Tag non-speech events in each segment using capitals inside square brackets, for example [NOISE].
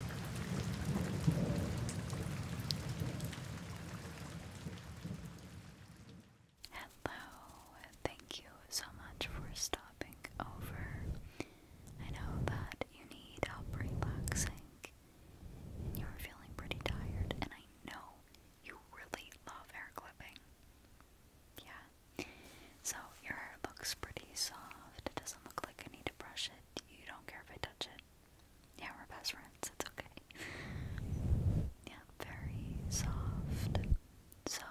Hello, thank you so much for stopping over. I know that you need help relaxing you're feeling pretty tired, and I know you really love hair clipping. Yeah. So your hair looks pretty soft. It doesn't look like I need to brush you don't care if I touch it. Yeah, we're best friends. It's okay. Yeah, very soft. So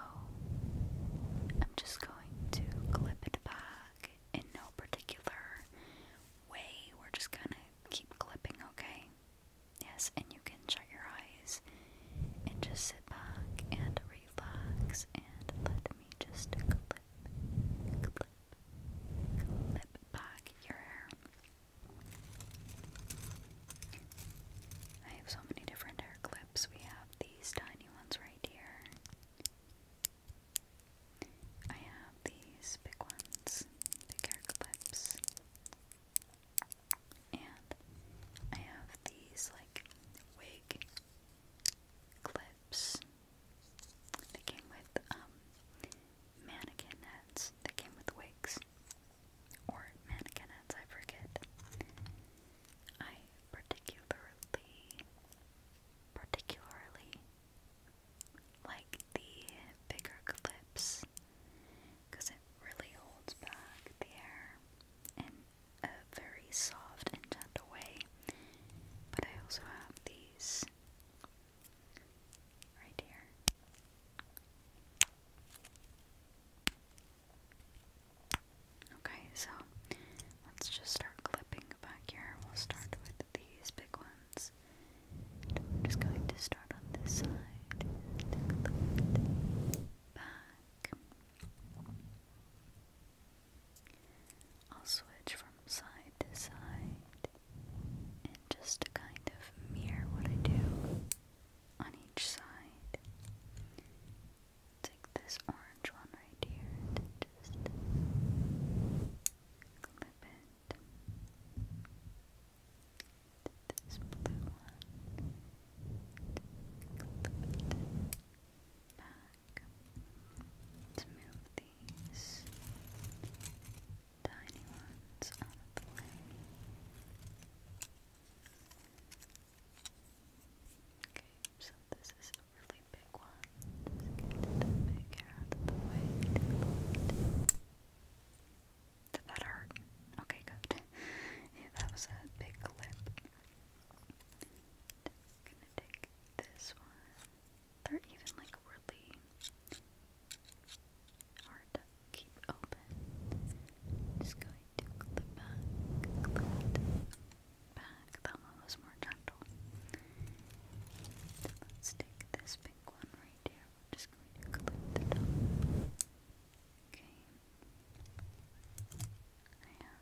I'm just going to clip it back in no particular way. We're just gonna keep clipping, okay? Yes, and you can shut your eyes and just sit back and relax and let me just clip, clip, clip back your hair. I have so many different hair clips. We have these tiny ones right here. I have these big ones, big hair clips. And I have these like wig clips. They came with um, mannequin hats. They came with wigs. Or mannequin hats, I forget. I particularly, particularly like the bigger clips because it really holds back the hair in a very soft and gentle way. But I also have these right here. Okay, so let's just start clipping back here. We'll start with these big ones. just going to start on this side. back. I'll switch from side to side and just kind of mirror what I do on each side. Take this orange one right here and just clip it. This blue one back. let move these tiny ones out of the way. Okay, so this is a really big one. get that big hair out of the way. Did that hurt? Okay, good. Yeah, [LAUGHS] that was a big clip gonna take this one. They're even like really hard to keep open. just going to clip back, clip back. That one was more gentle. let's take this pink one right here. just going to clip the top. Okay. I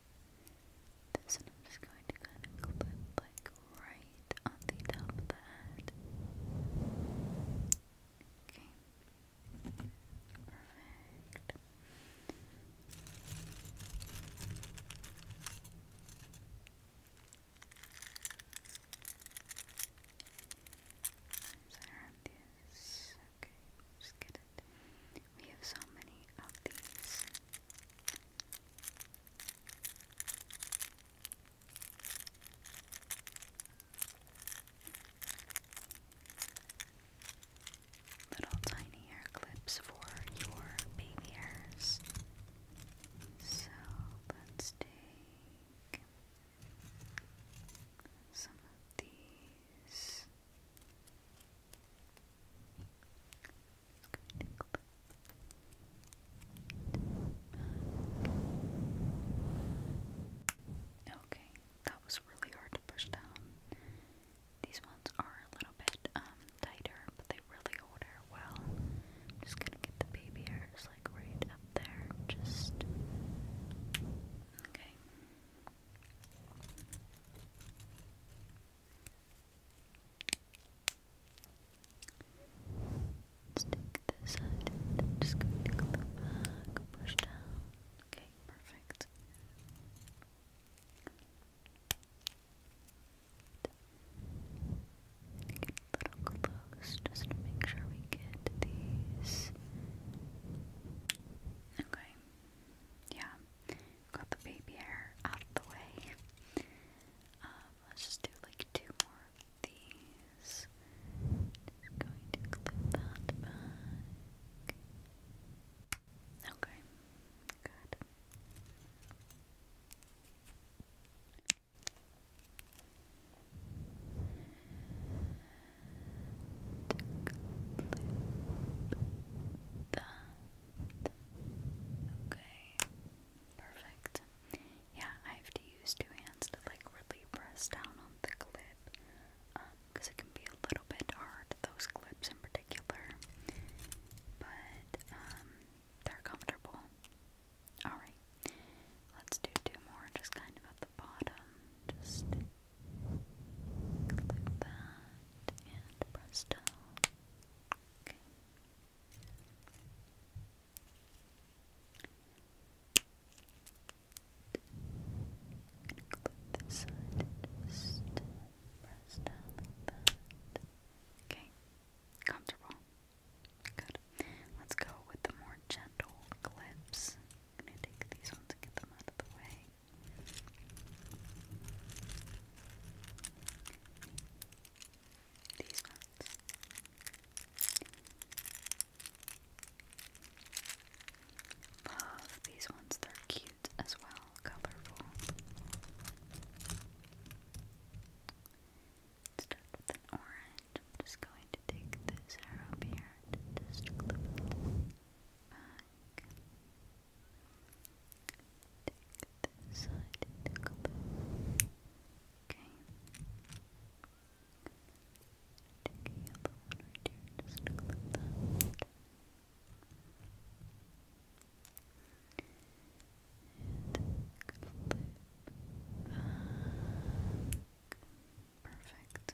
This one I'm just going to kind of clip like right on the top of the head. Okay. Perfect. This. Okay, just get it. We have so many of these. Little tiny hair clips for your baby hairs. So let's take some of these. Okay, that was really hard to push down. These ones are a little bit um, tighter, but they really hold her well. I'm just gonna get the baby hairs like right up there, just okay. Let's take just going to go back, push down. Okay, perfect. a little close just to make sure we get these. Okay. Yeah. Got the baby hair out of the way. Um, let's just do like two more of these. going to clip that Okay, good. Take Okay. Perfect. Yeah, I have to use two hands to like really press down on the clip because um, it can be a little bit hard, those clips in particular. But um, they're comfortable. Alright, let's do two more just kind of at the bottom. Just Click that, and presto. Okay. Click this side and just press down Okay, comfortable. Good. Let's go with the more gentle clips. gonna take these ones and get them out of the way. These ones. Love these ones, they're cute as well, colorful. Start with an orange. I'm just going to take this hair here and just clip it back. Take this side and go back. Okay. Take a yellow one right here, just clip that. And clip back. Perfect.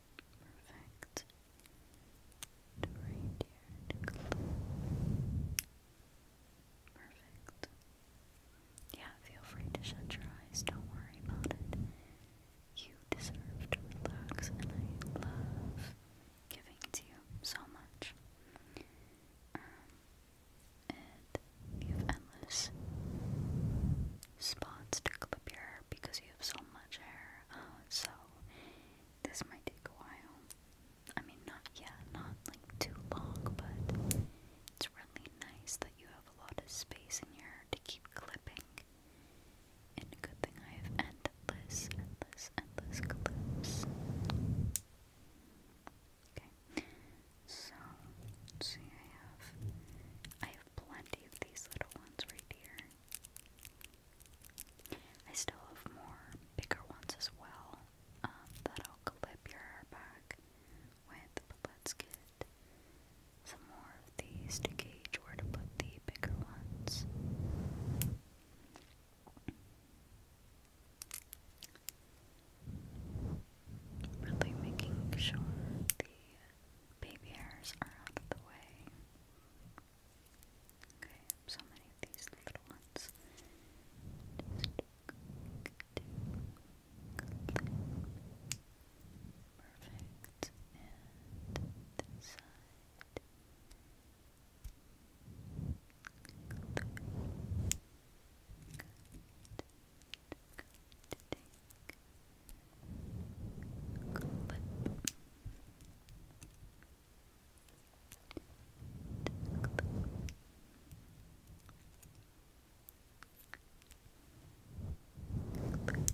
Perfect. to close. Perfect. Yeah, feel free to shut your eyes. Don't worry about it. You deserve to relax, and I love giving to you so much. Um, and you have endless spots to clip your hair because you have so much hair. Oh, so this might take a while. I mean, not yeah, not like too long, but it's really nice that you have a lot of space in here to keep clipping. And a good thing I have endless, endless, endless clips. Okay, so see. I have I have plenty of these little ones right here. I still have more bigger ones as well um, that I'll clip your hair back with, let's get some more of these to gauge where to put the bigger ones. Really making sure the baby hairs are out of the way. Okay, so many of these little ones. Perfect. Perfect. Good. Good. Good.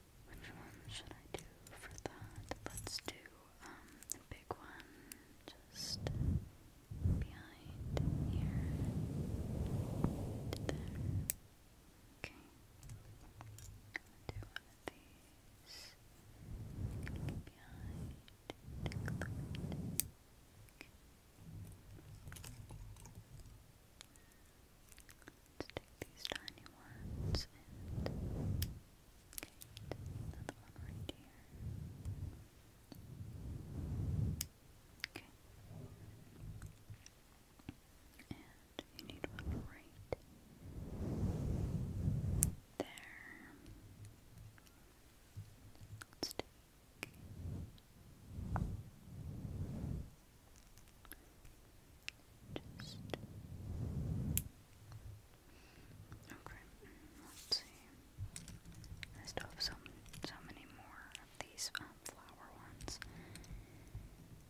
Which one should I do for that? Let's do um, the big one just behind here Okay. do one of these. Behind let take these tiny ones okay, another one right here. Okay. And you need one right there. Let's take just okay. Let's see. I still have so so many more of these um, flower ones.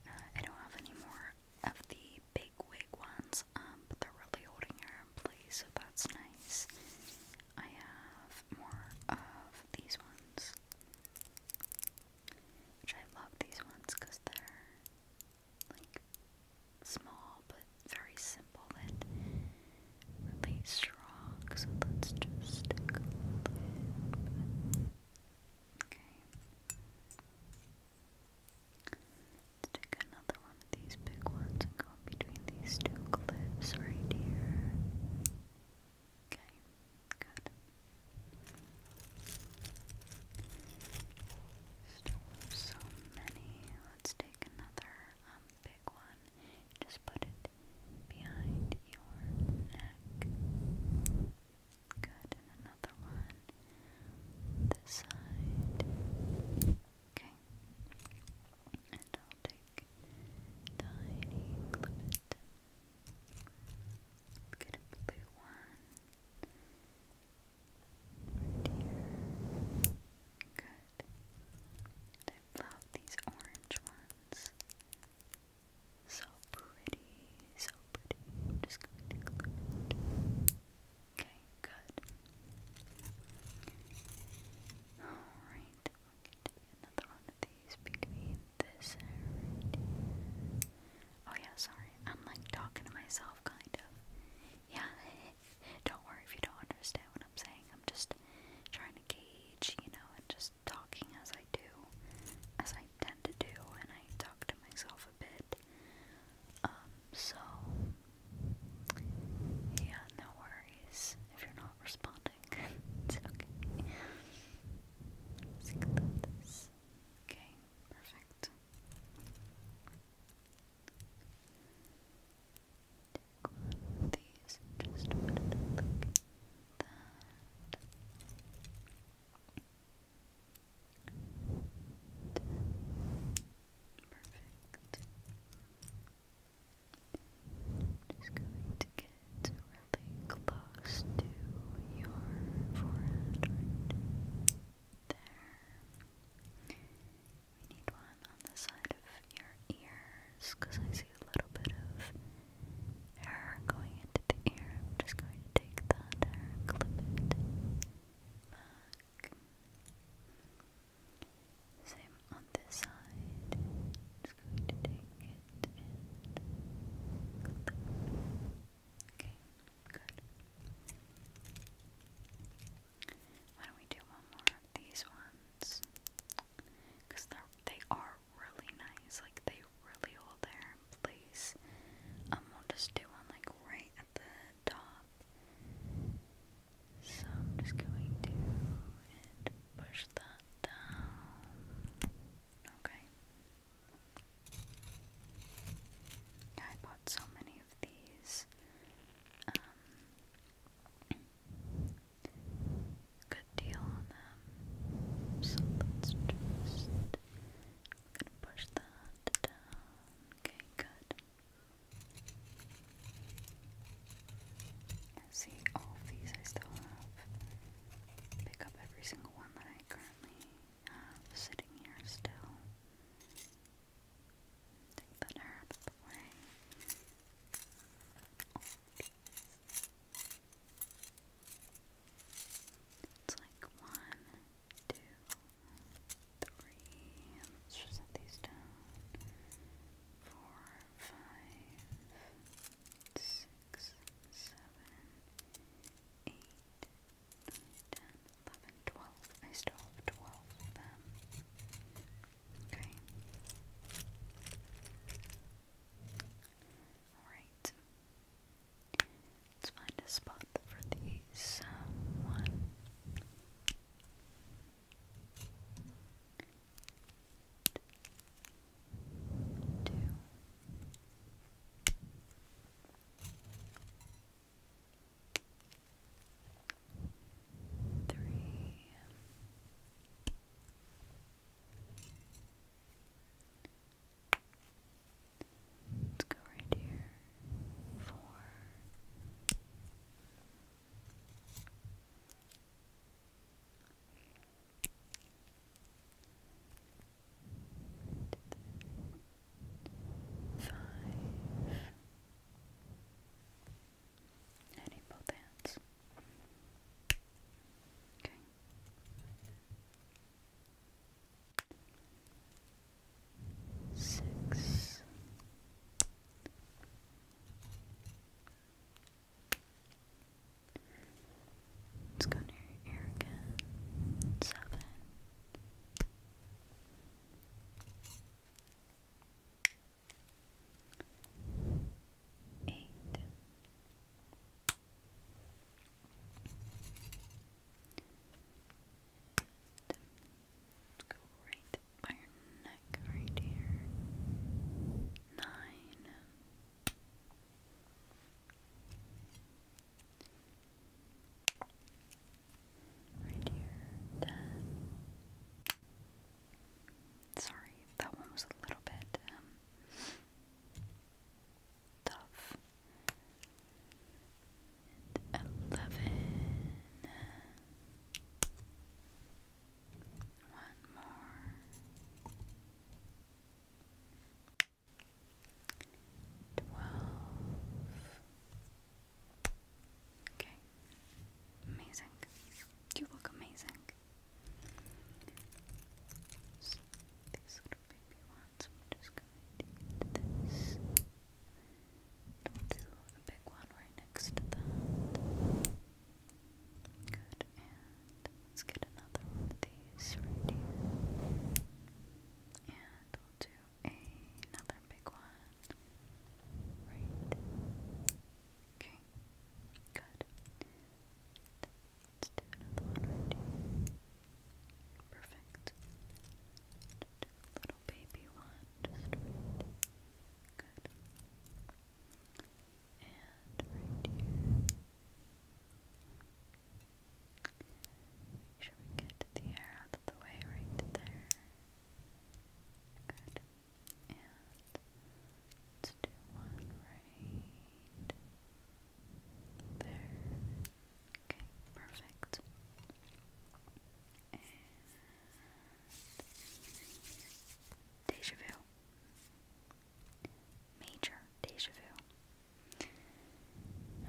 Uh, I don't have any more of the big wig ones, um, but they're really holding her in place, so that's nice. I have more of these ones. Which I love these ones because they're like small but very simple and really strong. So let's just stick a little bit. Okay. let another one of these big ones and go between these two clips right here. Okay, good. Still so many. Let's take another big one. Just put it behind your neck. Good, another one. This side. Okay. And I'll take tiny clip it. Get a blue one. Good. I love these orange ones. So pretty, so pretty. just going to glue it. Okay, good. Alright, we'll get another one between this Oh yeah, sorry. I'm like talking to myself, kind of. Yeah, [LAUGHS] don't worry if you don't understand what I'm saying. I'm just trying to gauge, you know, and just talking as I do, as I tend to do, and I talk to myself a bit. Um, so, yeah, no worries if you're not responding it's okay. Let's Okay, perfect. Take these just put it that. Perfect. Just going to get it really close to your forehead there. We need one on the side of your ears because I see a little bit of hair going into the ear. I'm just going to take that hair and clip it back. Same on this side just going Why don't we do one more of these ones? Because they are really nice. Like, they really hold their place. Um, we'll just do one, like, right at the top. So I'm just going to push that down. Okay. Yeah, I bought so many of these. Um, good deal on them. So let's just push that down. Okay, good. See, all these I still have. Pick up every single one that I currently sitting here still. Take that out of the way. It's like one, two, three. Let's just set these down. Four, five, six, six, seven, eight, nine, ten, eleven, twelve. I still have twelve of them. Okay. Alright. Let's find a spot for these. Uh, one two, three, let's go right here, four. Five. And in both hands. Okay. Six. Let's go near Erica. Seven. Eight. Let's go right by your neck right here. Nine. Right here, done. Sorry, that one was a little bit um, tough. eleven. One more. Twelve. Okay. Amazing. You look amazing. these little baby ones, I'm just gonna do this. We'll do a big one right next to that. Good, and let's get another of these right here. And do another big one. Right. Okay. Good. Let's do another one right here. Perfect. little baby one, just right. Good and right Make sure we get the air out of the way right there. Good. And let one right there. Okay, perfect. And deja vu. Major deja vu.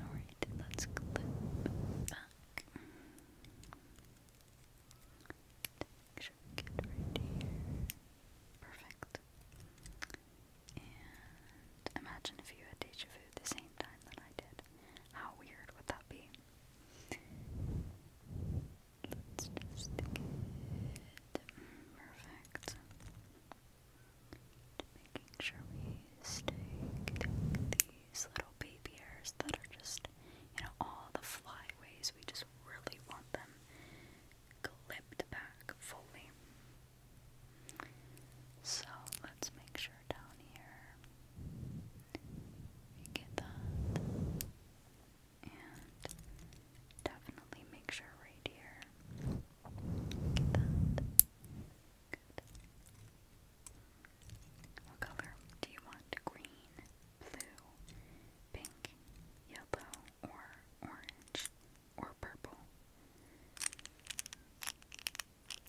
Alright, let's clip Make sure we get right Perfect. And imagine if you had deja vu the same time that I did. How weird would that be? Let's just get perfect. Making sure we stick these little baby hairs that are just, you know, all the flyways. We just really want them clipped back fully. So let's make sure down here we get that and definitely make sure right here. What color do you want? Green, blue, pink, yellow, or orange, or purple?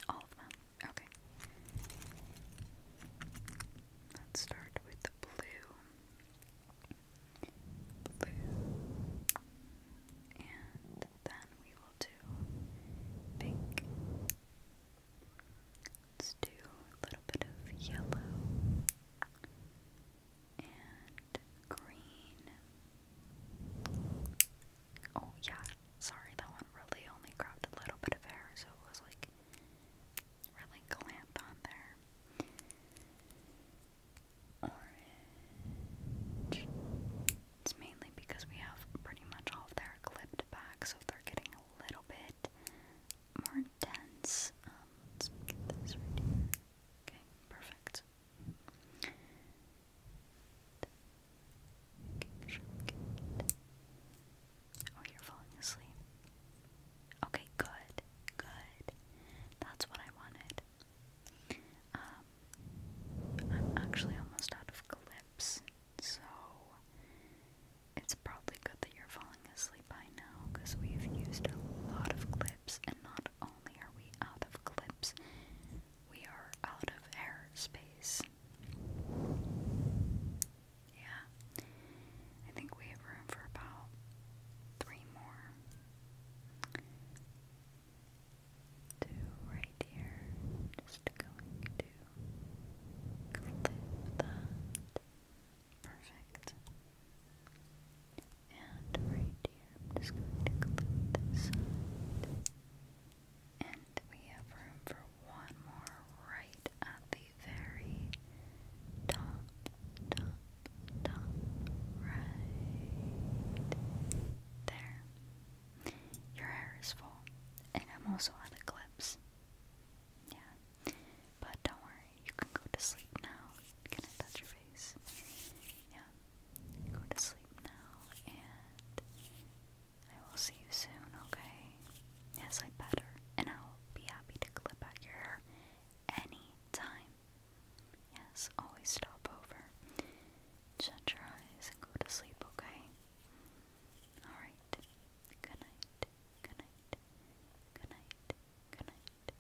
All of them. Okay. Let's start with the blue blue, and then we will do pink. Let's do a little bit of yellow and green. Oh, yeah, sorry, that one really only grabbed a little bit of hair, so it was like really clamped on there. Orange. It's mainly because we have pretty much all their clipped back, so they're getting a little bit more dense. Um, okay, perfect. Oh, you're falling asleep. Okay, good, good. That's what I wanted. Um, I'm actually almost out of clips, so it's probably good that you're falling asleep by now because we've used a lot of clips, and not only are we out of clips, we are out of air yeah. I think we have room for about three more. Two right here. Just going to clip that. Perfect. And right here, just going to clip this And we have room for one more right at the very top, top, top right there. Your hair is full, and I'm also on the clips. Yeah, but don't worry, you can go to sleep now. Can I touch your face? Yeah, go to sleep now, and I will see you soon. Okay? Yes, I better, and I'll be happy to clip out your hair any time. Yes, always stop over. Shut your eyes and go to sleep, okay? Alright. Good night. Good night. Good night. Good night.